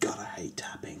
God, I hate tapping.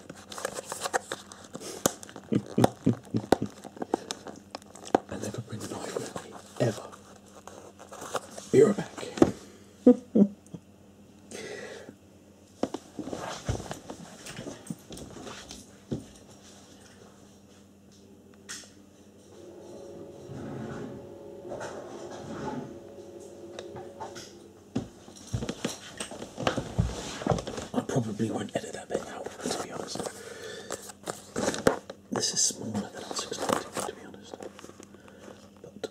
I never bring a knife with me, ever. Be right back. I probably won't edit that bit out, to be honest. This is smaller than I was expecting, to be honest. But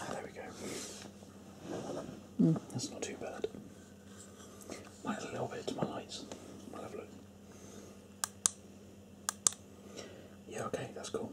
Ah, there we go. Hmm. That's not too bad. Might a little bit to my lights. have a look. Yeah, okay, that's cool.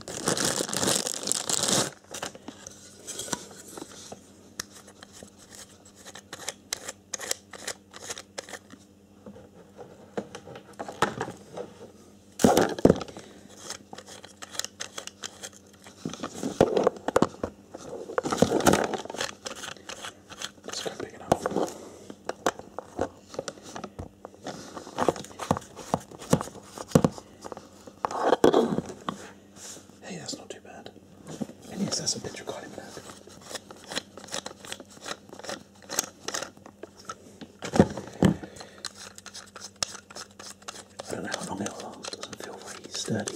It's kind of big enough. Hey, that's not too bad. And yes, that's a better card in that. I don't know how long it'll last, doesn't feel very sturdy,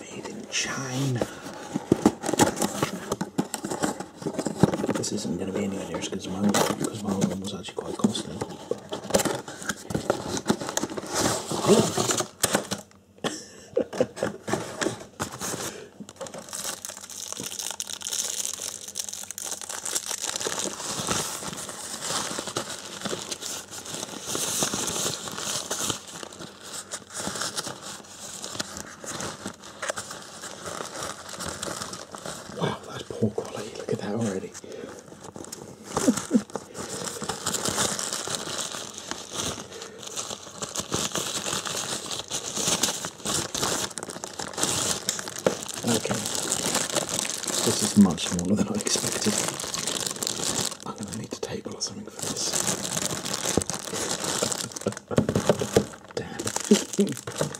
Made in China. This isn't going to be anywhere near as good as my because my one was actually quite costly. Wow, that's poor quality. Look at that already. okay, this is much smaller than I expected. I'm gonna need a table or something for this. Damn.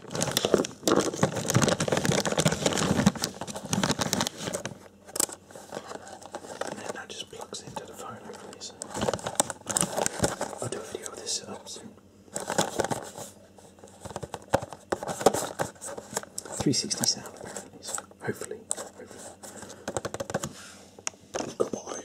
And then that just plugs into the phone, I'll do a video of this setup soon. 360 sound apparently, so hopefully, hopefully. Goodbye.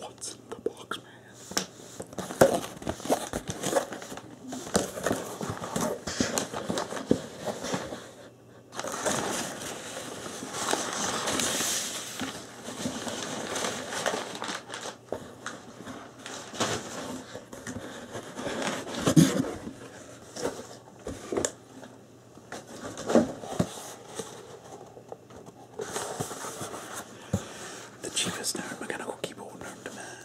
What's in the box, man? The cheapest mechanical keyboard known to man.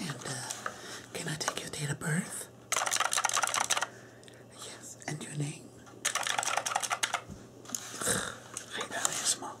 And uh, can I take your date of birth? Yes, and your name? I know it's small.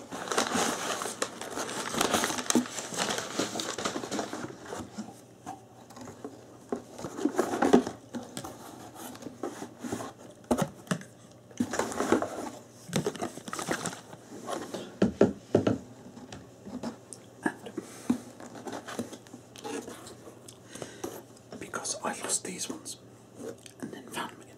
because I lost these ones and then found them again,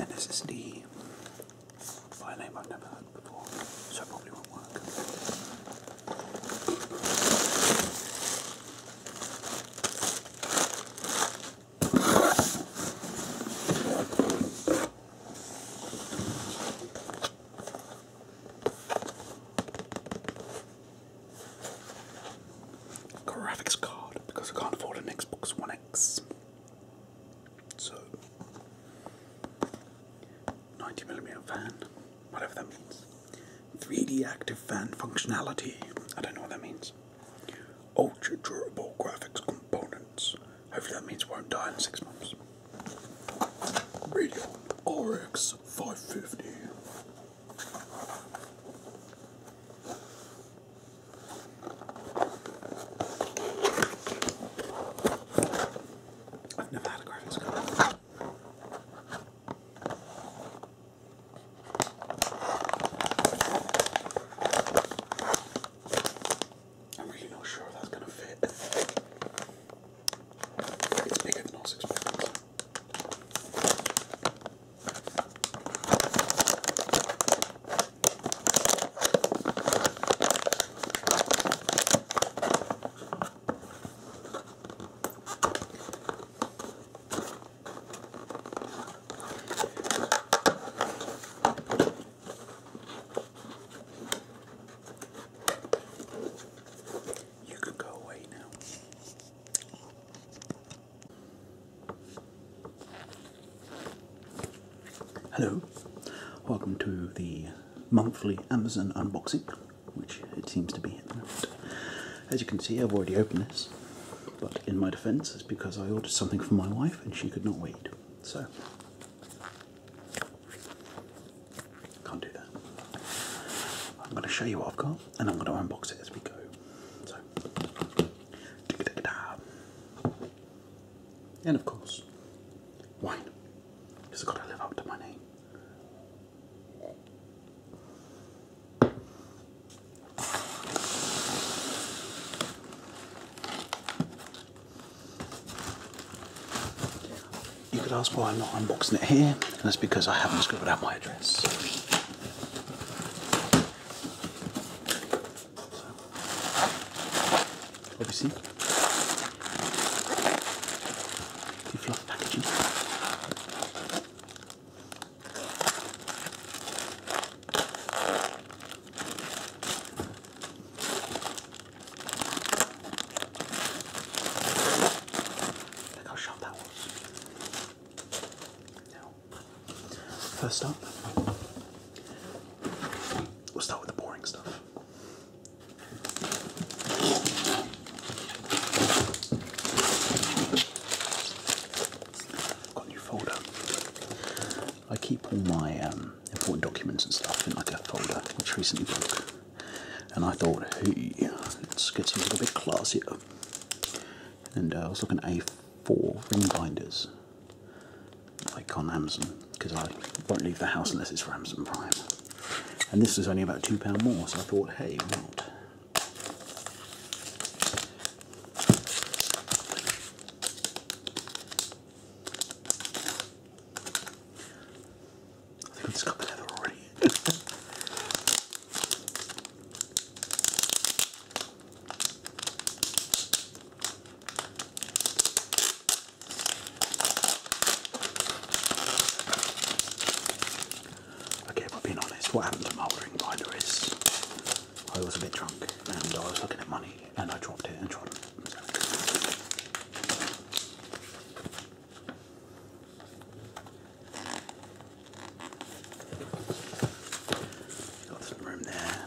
And this is the by a name I've never heard before, so probably won't work. Graphics card because I can't afford an Xbox One X. So, 90 millimeter fan, whatever that means. 3D active fan functionality, I don't know what that means. Ultra durable graphics components, hopefully that means we won't die in six months. Radio RX 550. I've never had a graphics card. I'm really not sure if that's going to fit. It's bigger than I was expecting. You could go away now. Hello, welcome to the monthly Amazon unboxing, which it seems to be at the moment. As you can see, I've already opened this, but in my defense, it's because I ordered something for my wife and she could not wait. So, can't do that. I'm going to show you what I've got and I'm going to unbox it as we go. So, and of course, wine. Just gotta live up to my name. You could ask why I'm not unboxing it here, and that's because I haven't scribbled out my address obviously the fluff look how sharp that was now first up we'll start with the boring stuff Got a new folder. I keep all my um, important documents and stuff in like a folder, which recently broke. And I thought, hey, let's get something a bit classier. And uh, I was looking at A4 ring binders like on Amazon because I won't leave the house unless it's for Amazon Prime. And this was only about £2 more, so I thought, hey, what? I think I've just leather already. Okay, but being honest, what happened to my ordering binder is I was a bit drunk and I was looking at money and I dropped it and tried it. Got some room there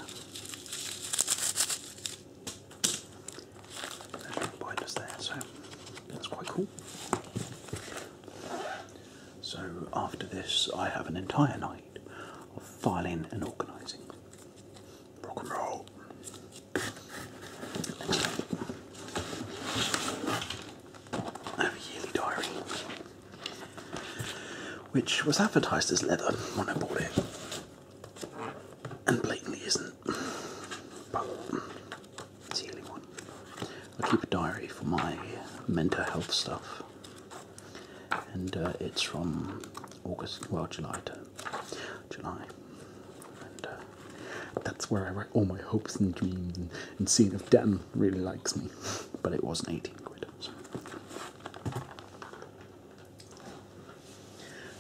there's us there, so that's quite cool. So after this, I have an entire night of filing and organising. Rock and roll. I have a yearly diary, which was advertised as leather when I bought it and blatantly isn't. But one. I keep a diary for my mental health stuff, and uh, it's from August, well, July July. And uh, that's where I write all my hopes and dreams and, seeing if Dan really likes me. But it wasn't 18 quid.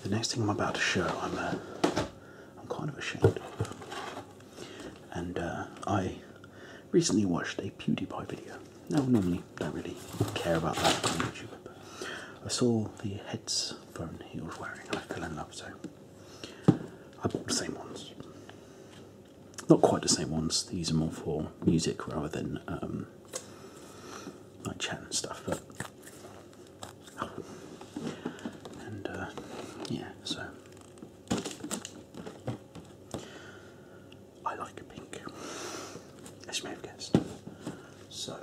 The next thing I'm about to show, I'm uh, kind of ashamed of, and uh, I recently watched a PewDiePie video. Now, normally, don't really care about that on YouTube, but I saw the headphone he was wearing, and I fell in love, so I bought the same ones. Not quite the same ones. These are more for music rather than um, like chat and stuff, but and uh, yeah, so I like pink, as you may have guessed. So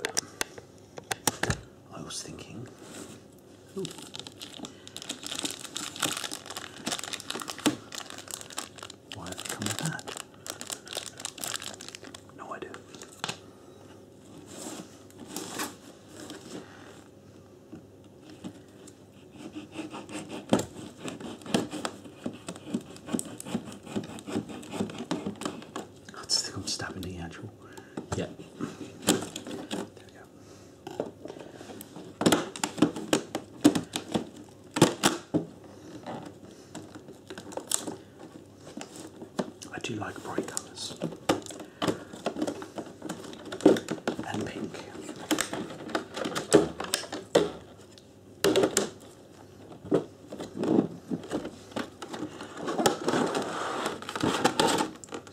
I was thinking. Why have I come with No idea. I think I'm stabbing the actual. Yeah. There we go. I do like bright colours and pink. It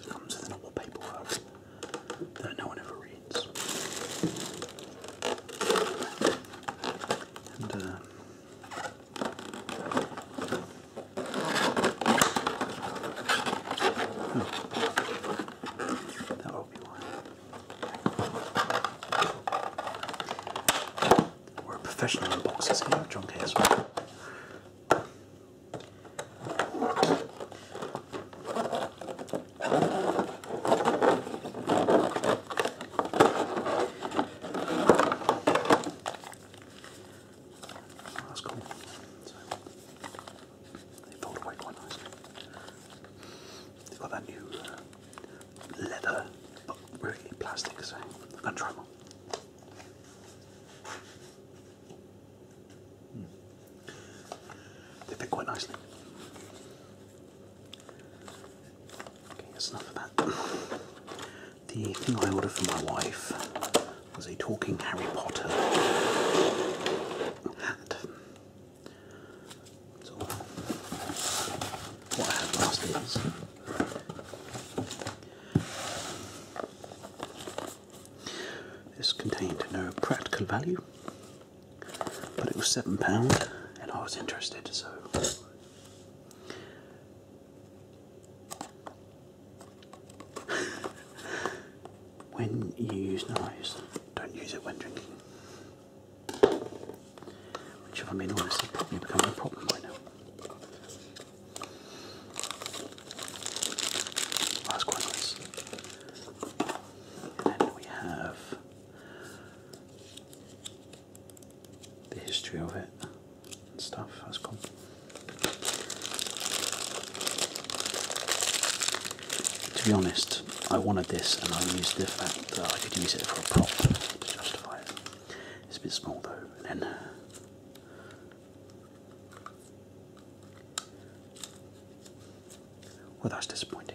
comes with an old paperwork that no one ever reads. And uh, Hmm. That will be one. We're professional unboxers here at John K as well. Oh, that's cool. they fold away quite nicely. They've got that new uh, leather, but really plastic, so I'm going to try one. Mm. They fit quite nicely. Okay, that's enough of that. The thing I ordered for my wife was a talking Harry Potter. Hat. what I had last is this contained no practical value, but it was £7 and I was interested, so when you use knives, don't use it when drinking. Which, if I'm being honest, has probably become a problem right now. Last quite And we have the history of it and stuff. That's cool. To be honest, I wanted this and I used the fact that I could use it for a prop to justify it. It's a bit small though, and then well, that's disappointing.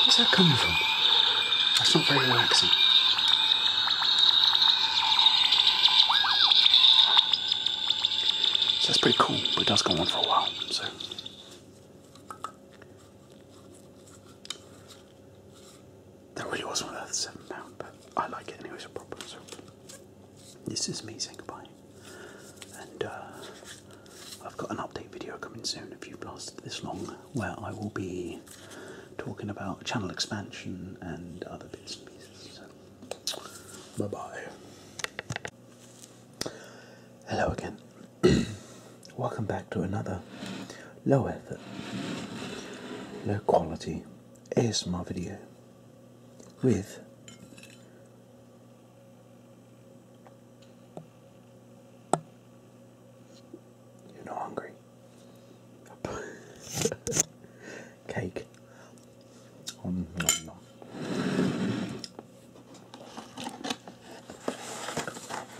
Where's that coming from? That's not very relaxing. So that's pretty cool, but it does go on for a while, so. That really wasn't worth seven pound, but I like it anyway, so proper. So this is me saying goodbye, and uh, I've got an update video coming soon. If you've lasted this long, where I will be talking about channel expansion and other bits and pieces. bye bye. Hello again. Welcome back to another low effort, low quality ASMR video with you're not hungry. Cake.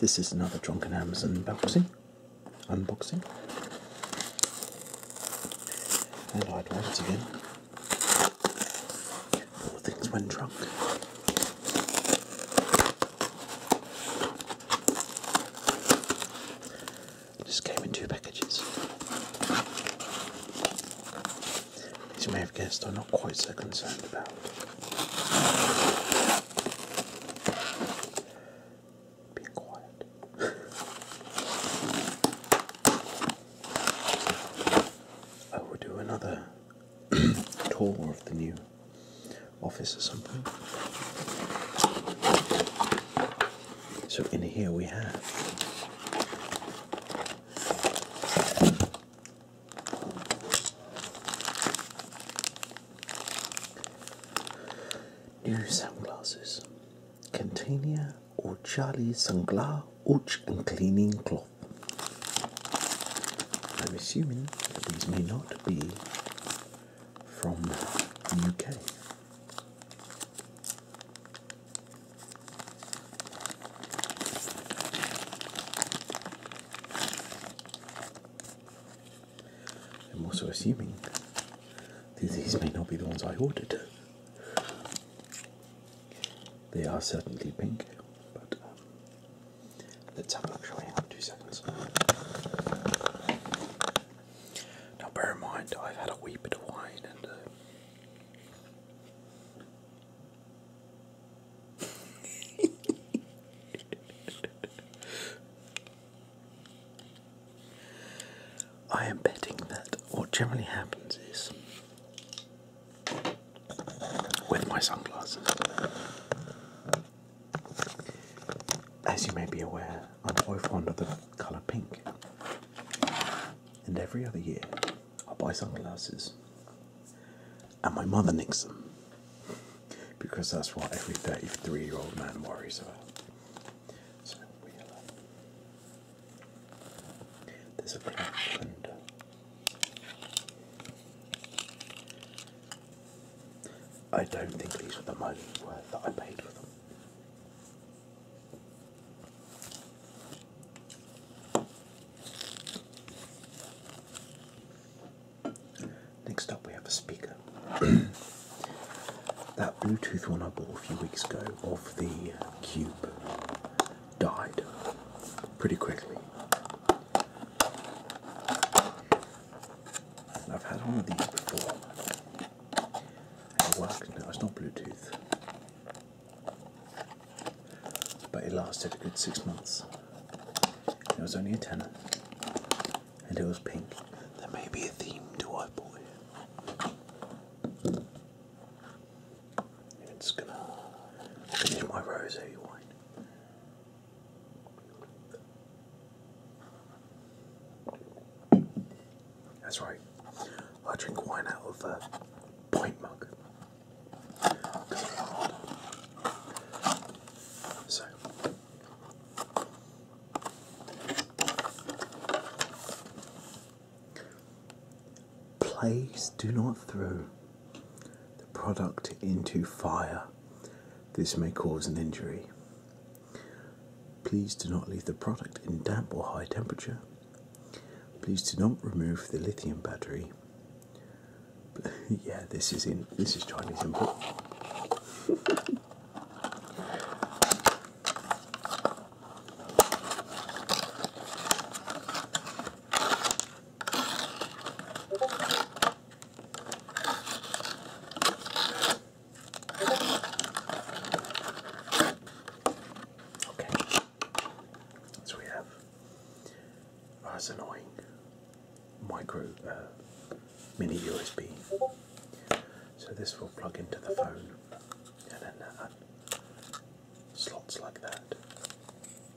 This is another Drunken Amazon unboxing. Unboxing. And I'd once again. things went drunk. This came in two packages. As you may have guessed, I'm not quite so concerned about. Being quiet. I will do another tour of the new office or something. So in here we have new sunglasses, container or Charlie sunglass, ouch and cleaning cloth. I'm assuming that these may not to be from the UK. I'm also assuming these may not be the ones I ordered. They are certainly pink, but um, Let's have a look. actually hang on two seconds. Now bear in mind I've had a wee bit of wine and uh, I am betting that what generally happens is with my sunglasses as you may be aware, I'm quite fond of the colour pink, and every other year I buy sunglasses, and my mother nicks them because that's what every 33 year old man worries about. So there's a black thunder. I don't think these are the money worth that I paid for them. Next up, we have a speaker. that Bluetooth one I bought a few weeks ago of the Cube died pretty quickly. I've had one of these before. It works now, it's not Bluetooth. But it lasted a good six months. It was only a tenner. And it was pink. There may be a theme to white boy. It's gonna finish my rosé wine. That's right. I drink wine out of a uh, point mug. So. Please do not throw the product into fire. This may cause an injury. Please do not leave the product in damp or high temperature. Please do not remove the lithium battery. yeah, this is in this is Chinese import. So we have oh, that's annoying. Micro uh, mini USB. So this will plug into the phone, and then slots like that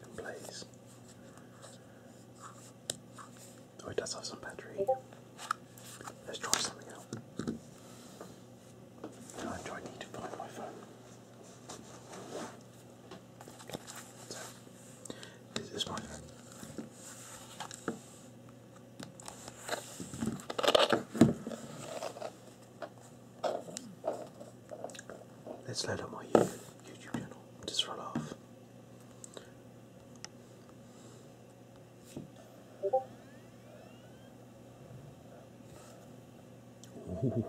and plays. Oh, it does have some battery. Let's try something out. I need to find my phone? this is my phone. Let's load up my YouTube channel just roll off. Ooh.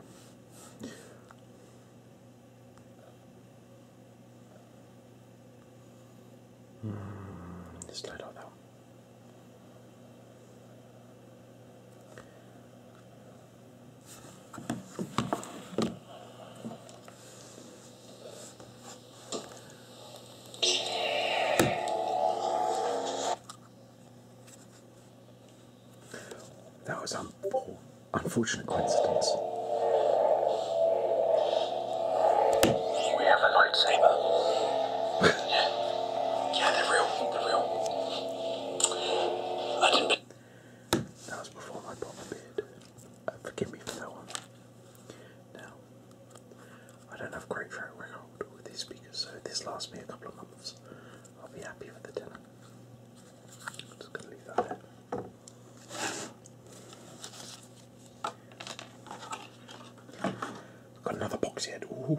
Mm, this little that was an unfortunate coincidence. We have a lightsaber. yeah. yeah, they real. they real. I didn't. That was before I bought my beard. Uh, forgive me for that one. Now, I don't have great track with these speakers, so this lasts me a couple of months, I'll be happy with the tenner. just gonna leave that there. got another box yet. Ooh.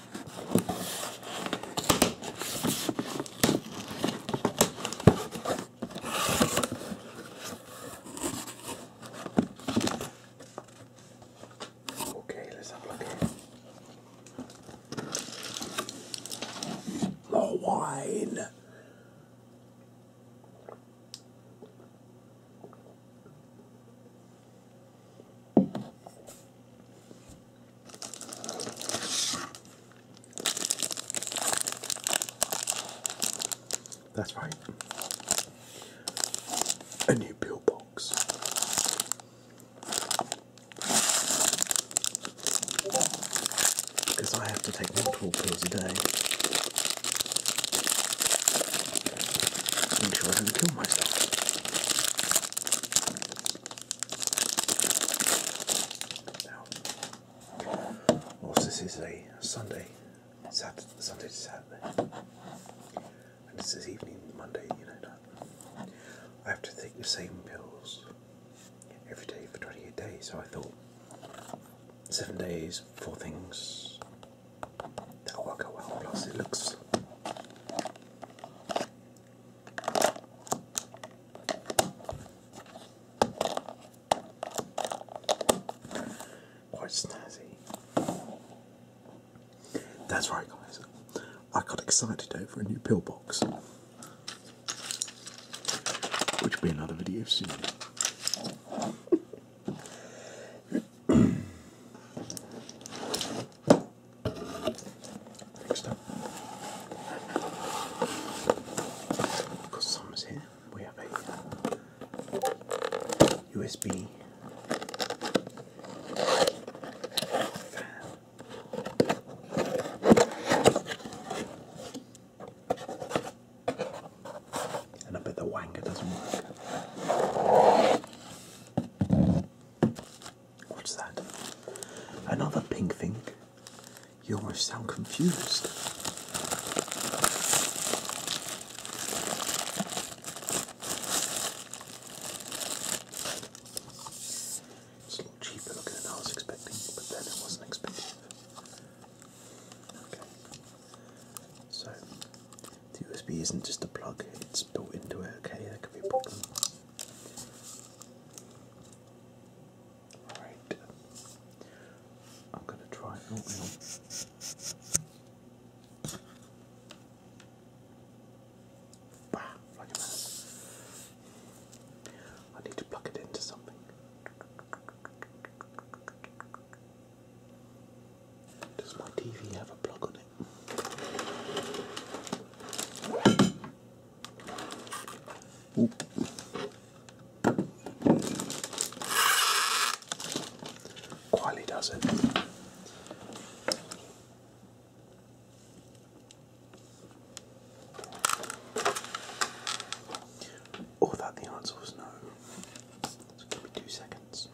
Okay, let's have a look here. More wine. That's right. A new pill box. Because I have to take multiple pills a day. Make sure I don't kill myself. Now, this is a Sunday, Saturday, Sunday Saturday, and this is evening Monday. You know that I have to take the same pills every day for 28 days. So I thought seven days, four things that'll work out well. Plus, it looks Quite snazzy. That's right, guys. I got excited over a new pillbox, which will be another video soon. Next up, because Summer's here, we have a USB fan. And I bet the wanker doesn't work. What's that? Another pink thing? You almost sound confused. It's a lot cheaper than I was expecting, but then it wasn't expensive. Okay. So the USB isn't just a plug, it's built into it, okay, that could be a problem. Alright. I'm going to try oatmeal. Ah, I need to plug it into something. Does my TV have a plug on it? Ooh. Quietly does it. All oh, that the answer was no. give me two seconds.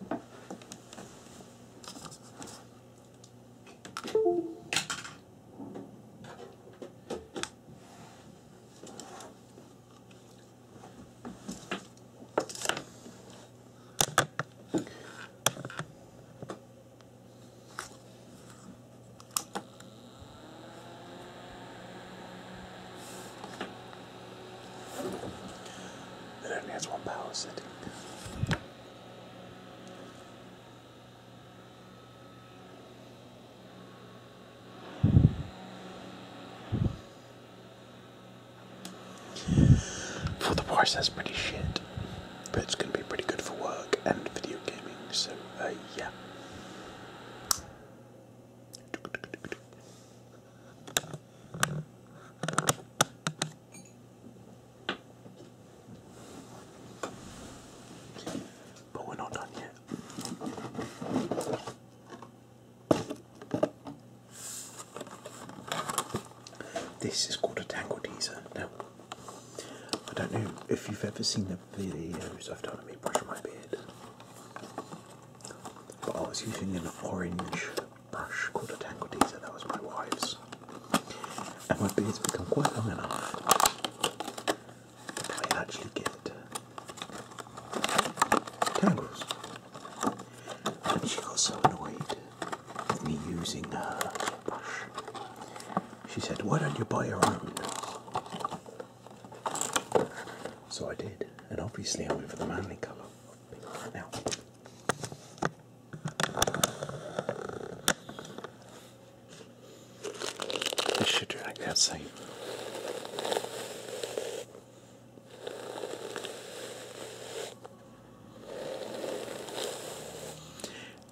It only has one power setting. For the price, that's pretty shit, but it's going to be pretty good for work and video gaming, so uh, yeah. But we're not done yet. This is called a tangle teaser. No, I don't know if you've ever seen the videos I've done of me brushing my beard, but I was using an orange brush called a tangle teaser. That was my wife's. And my beard's become quite long enough that I actually get tangles. Uh, and she got so annoyed with me using her brush. She said, Why don't you buy your own? So I did, and obviously I went for the manly colour. Now, this should do that same.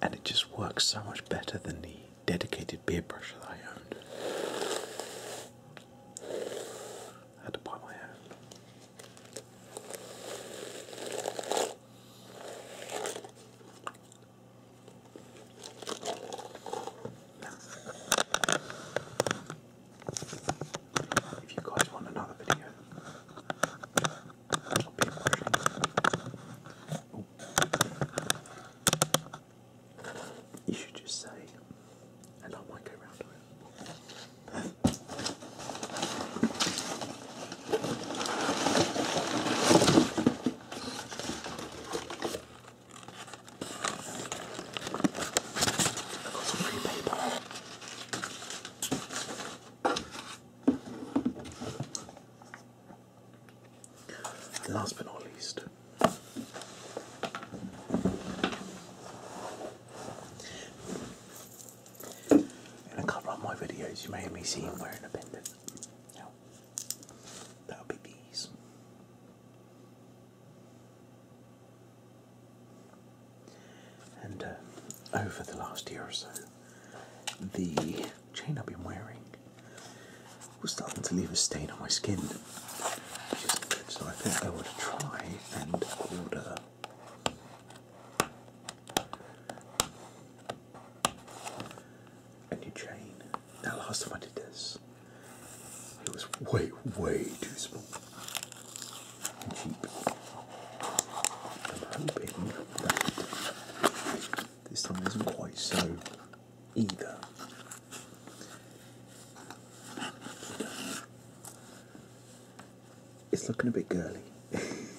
And it just works so much better than the dedicated beard brush that I owned. had to buy my own. If you guys want another video, You should just say, and I might go round to it some free paper. And last but not least, in a couple of my videos, you may have seen me wearing a pendant. Now, that'll be these. And uh, over the last year or so, the chain I've been wearing was starting to leave a stain on my skin, So I think I would try and order and you chain. That last time I did this, it was way, way too small and cheap. I'm hoping this time isn't quite so either it's looking a bit girly.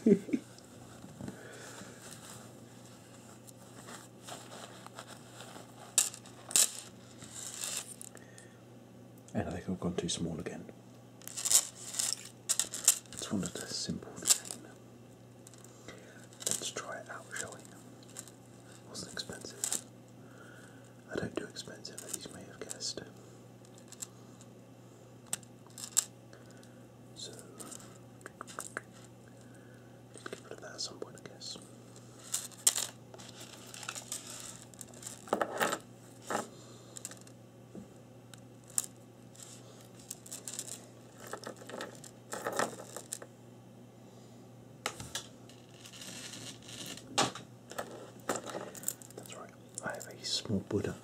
and I think I've gone too small again. It's one of the simple things. Let's try it out, shall we? Wasn't expensive. I don't do expensive, as you may have guessed. So get rid of that at some point, I guess. That's right. I have a small Buddha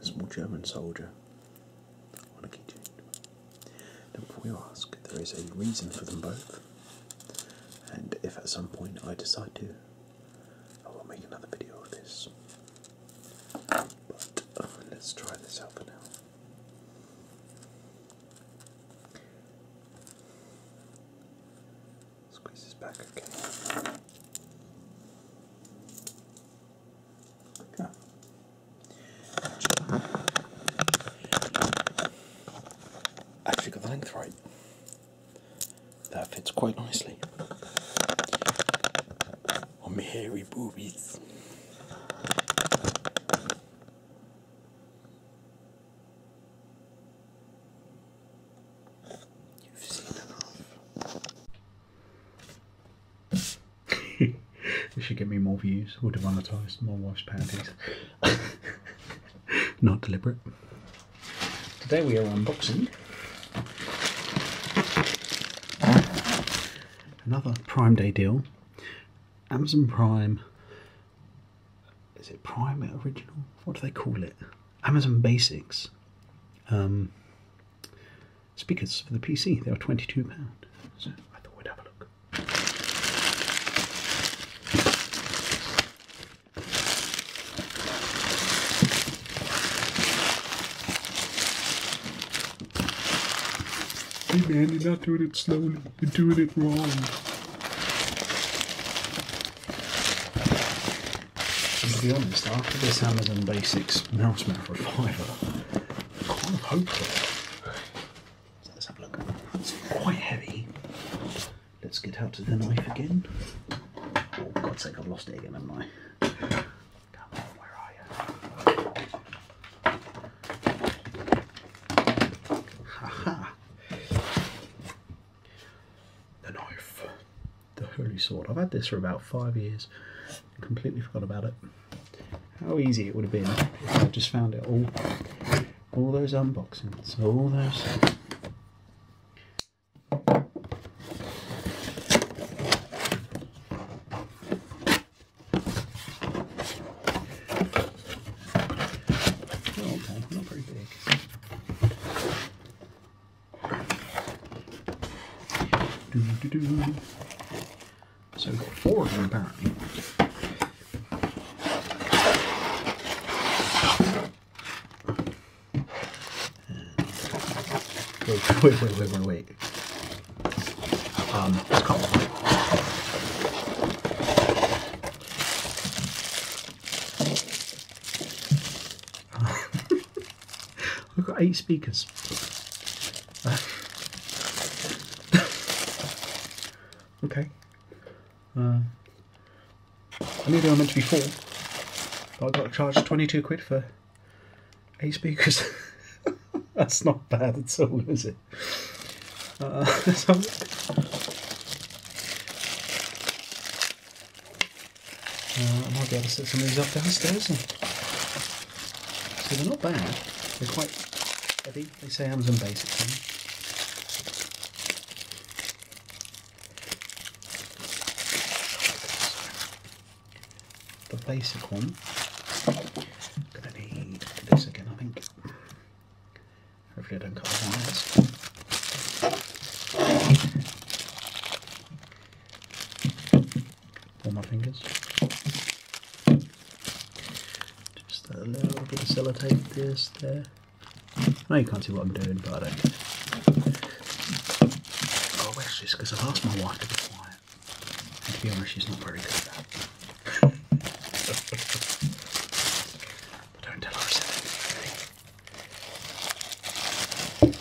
a small German soldier on a keychain. ask, there is a reason for them both, and if at some point I decide to, I will make another video of this. But um, let's try this out for now. Squeeze this back, okay. Okay. Actually the length right. That fits quite nicely. On my hairy boobies. You've seen enough this should get me more views or demonetized my wife's panties. Not deliberate. Today we are unboxing another Prime Day deal. Amazon Prime. Is it Prime Original? What do they call it? Amazon Basics. Um, speakers for the PC. They were £22. So I thought we'd have a look. Hey man, you're not doing it slowly, you're doing it wrong to be honest, after this Amazon Basics mouse mouth reviver, I'm kind of hopeful. let's have a look. It's quite heavy. Let's get out to the knife again. Oh, God's sake, I've lost it again, haven't I? where are you? Haha! -ha. The knife the Holy Sword. I've had this for about five years, completely forgot about it. How easy it would have been if I just found it all, all those unboxings, all those oh, so four of them apparently. Wait, wait, wait, wait, wait, Um, let I've got eight speakers. okay. Uh, I knew they were meant to be four, but I got charged 22 quid for eight speakers. That's not bad at all, is it? Uh, so uh, I might be able to set some of these up downstairs. And... So they're not bad. They're quite heavy. They say Amazon Basics on The basic one. gonna need this again, I think. Hopefully, I don't cut the wires. Pull my fingers. Just a little bit of sellotape this there. I know you can't see what I'm doing, but I don't care. Oh, it's because I've asked my wife to be quiet. And to be honest, she's not very good at that. don't tell her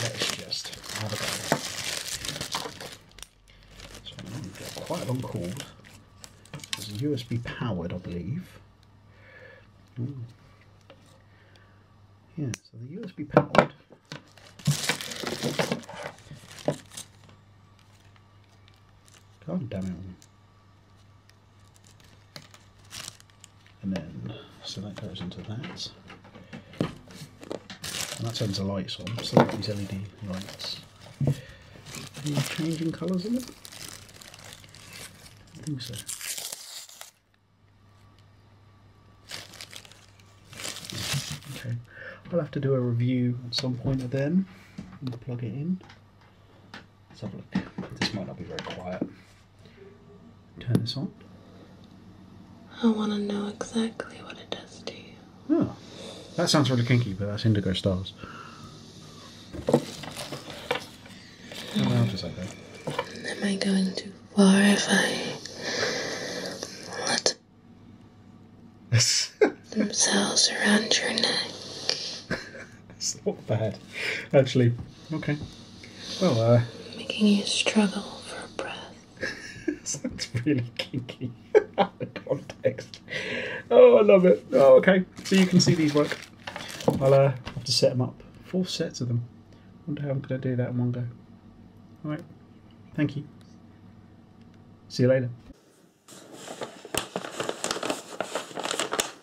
Let's just have a go. So quite a long cord. It's USB powered, I believe. Yeah, so the USB powered God damn it. And then, so that goes into that. And that turns the lights on, so that these LED lights. changing colours in it? I think so. Okay, I'll have to do a review at some point of them plug it in. Let's have a look. This might not be very quiet. Turn this on. I want to know exactly what it does to you. Oh, that sounds really kinky, but that's indigo stars. How loud is that Am I going too far if I let themselves around your neck? not bad, actually. Okay. Well, uh. Making you struggle for breath. Sounds really kinky out of context. Oh, I love it. Oh, okay. So you can see these work. I'll uh, have to set them up. Four sets of them. wonder how I'm going to do that in one go. Alright. Thank you. See you later.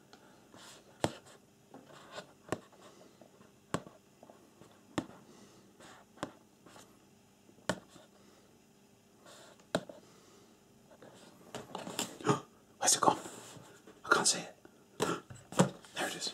Where's it gone? I can't see it. There it is.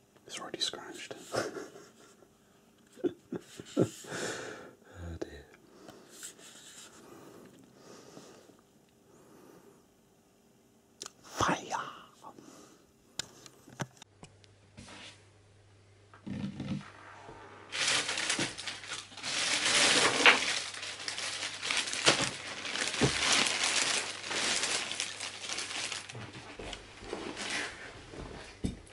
It's already scratched. Oh, Fire.